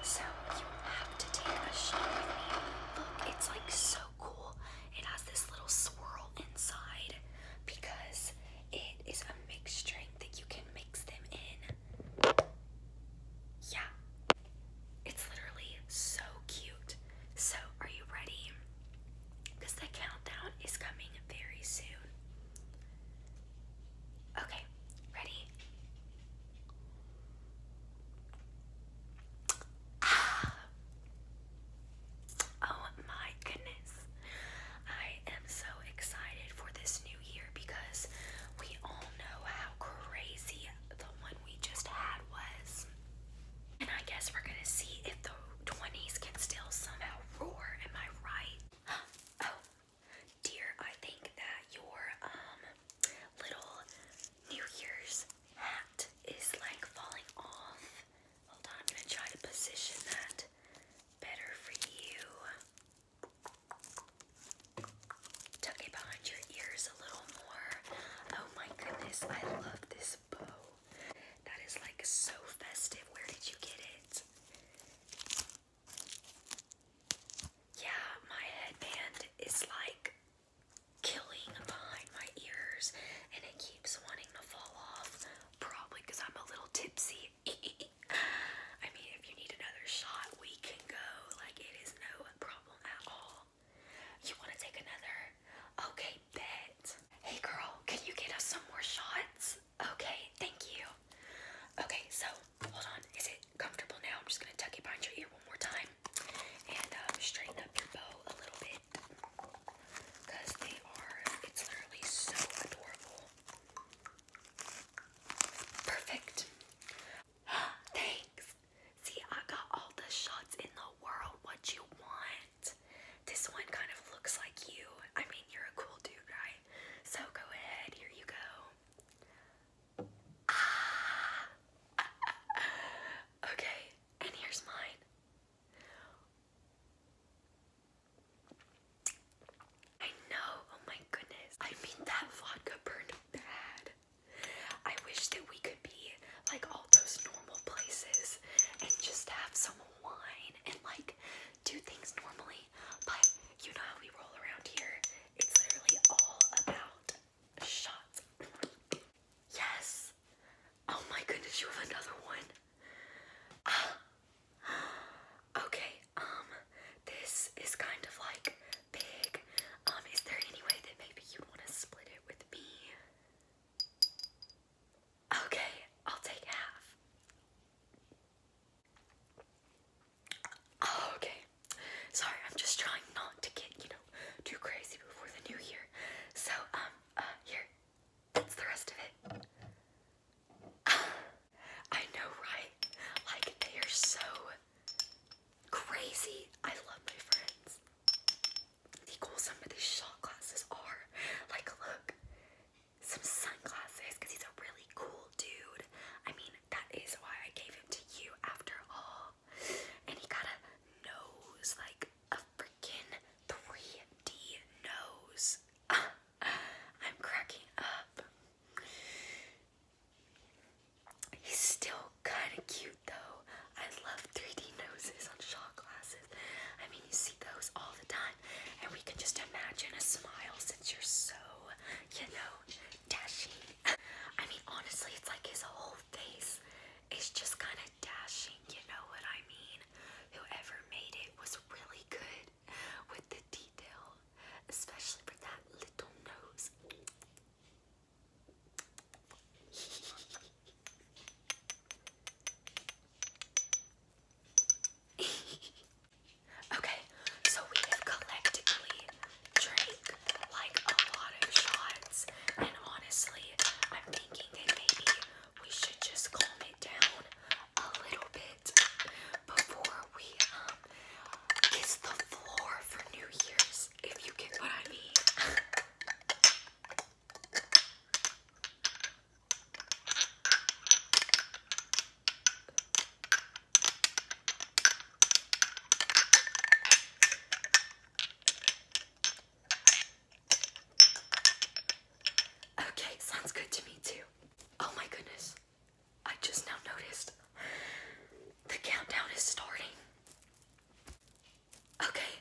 So you have to take a shot with me. Look, it's like so cool. It has this little swirl inside because it is a mixed drink that you can mix them in. Yeah. It's literally so cute. So are you ready? Because the countdown is coming very soon. Okay, ready? Ah. Oh my goodness. I am so excited for this new year because we all know how crazy the one we just had was. And I guess we're gonna see if the 20s can still somehow roar. Am I right? Oh, Dear, I think that your um little New Year's hat is like falling off. Hold on, I'm gonna try to position that better for you. Tuck it behind your ears a little more. Oh my goodness, I love this bow. That is like so festive. Where did you get it? Yeah, my headband is like killing behind my ears and it keeps wanting to fall off. Probably because I'm a little tipsy. I mean, if you need another shot, we can go. Like, it is no problem at all. You want to take another? Okay, bet. Hey, girl, can you get us some more shots? Okay, thank you. Okay, so hold on. Is it comfortable now? I'm just gonna tuck it behind your ear one more time and um, straighten up your bow a little bit because they are, it's literally so adorable. Perfect. Thanks. See, I got all the shots in the world. What you want? This one kind of looks like you. I mean, you're a cool dude, right? so go ahead. Here you go. Ah. okay, and here's mine. I know. Oh my goodness. I mean, that vodka burned bad. I wish that we could be like all those normal places and just have some wine and like do things normally but you know how we roll around here. It's literally all about shots. Yes. Oh my goodness, you have another one. Ah. okay, um, this is kind of like big. Um, is there any way that maybe you want to split it with me? Okay, I'll take half. Oh, okay. Sorry, I'm just trying not to get, you know, too crazy before the new year. So, um, uh, here. That's the rest of it. I know, right? Like, they are so crazy. I love my friends. The cool some of these shot glasses are. Like, look some sunglasses because he's a really cool dude. I mean, that is why I gave him to you after all. And he got a nose, like a freaking 3D nose. I'm cracking up. He's still kind of cute though. I love 3D noses on shot glasses. I mean, you see those all the time. And we can just imagine a smile since you're so, you know, dashing. I mean, honestly, it's like his whole face is just kind of dashing, you know what I mean? Whoever made it was really good with the detail, especially for that little nose. okay, so we have collectively drank like a lot of shots, and honestly, I'm thinking that maybe we should just calm it down a little bit before we um, kiss the floor for New Year's, if you get what I mean. Okay, sounds good to me too. Oh my goodness. I just now noticed the countdown is starting. Okay.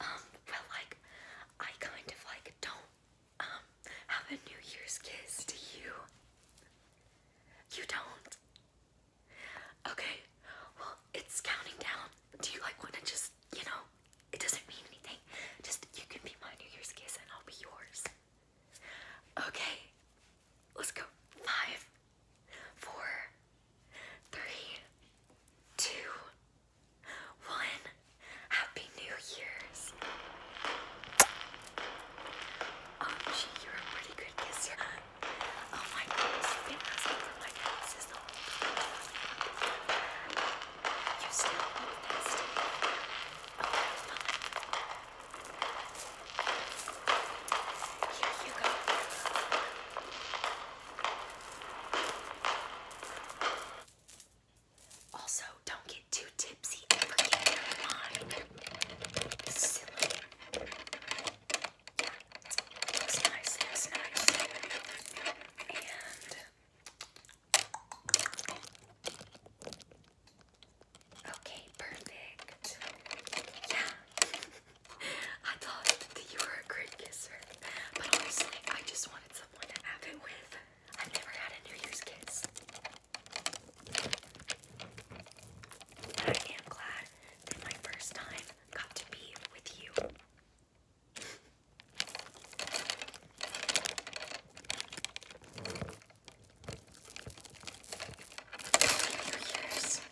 Um, well like I kind of like don't um, have a New Year's kiss, do you? You don't? Okay, well, it's counting down. Do you like want to just, you know, it doesn't mean anything. Just, you can be my New Year's kiss and I'll be yours. Okay, let's go. Five, four, three, two, one Happy New Year's. Oh, gee, you're a pretty good kisser. Oh my goodness, you've been asking for my kisses You still look nasty. Okay, oh, fine. Here you go. Also, don't get too tipsy Okay, perfect. Yeah. I thought that you were a great kisser. But honestly, I just I've never had a New Year's kiss. And I am glad that my first time got to be with you. New Year's.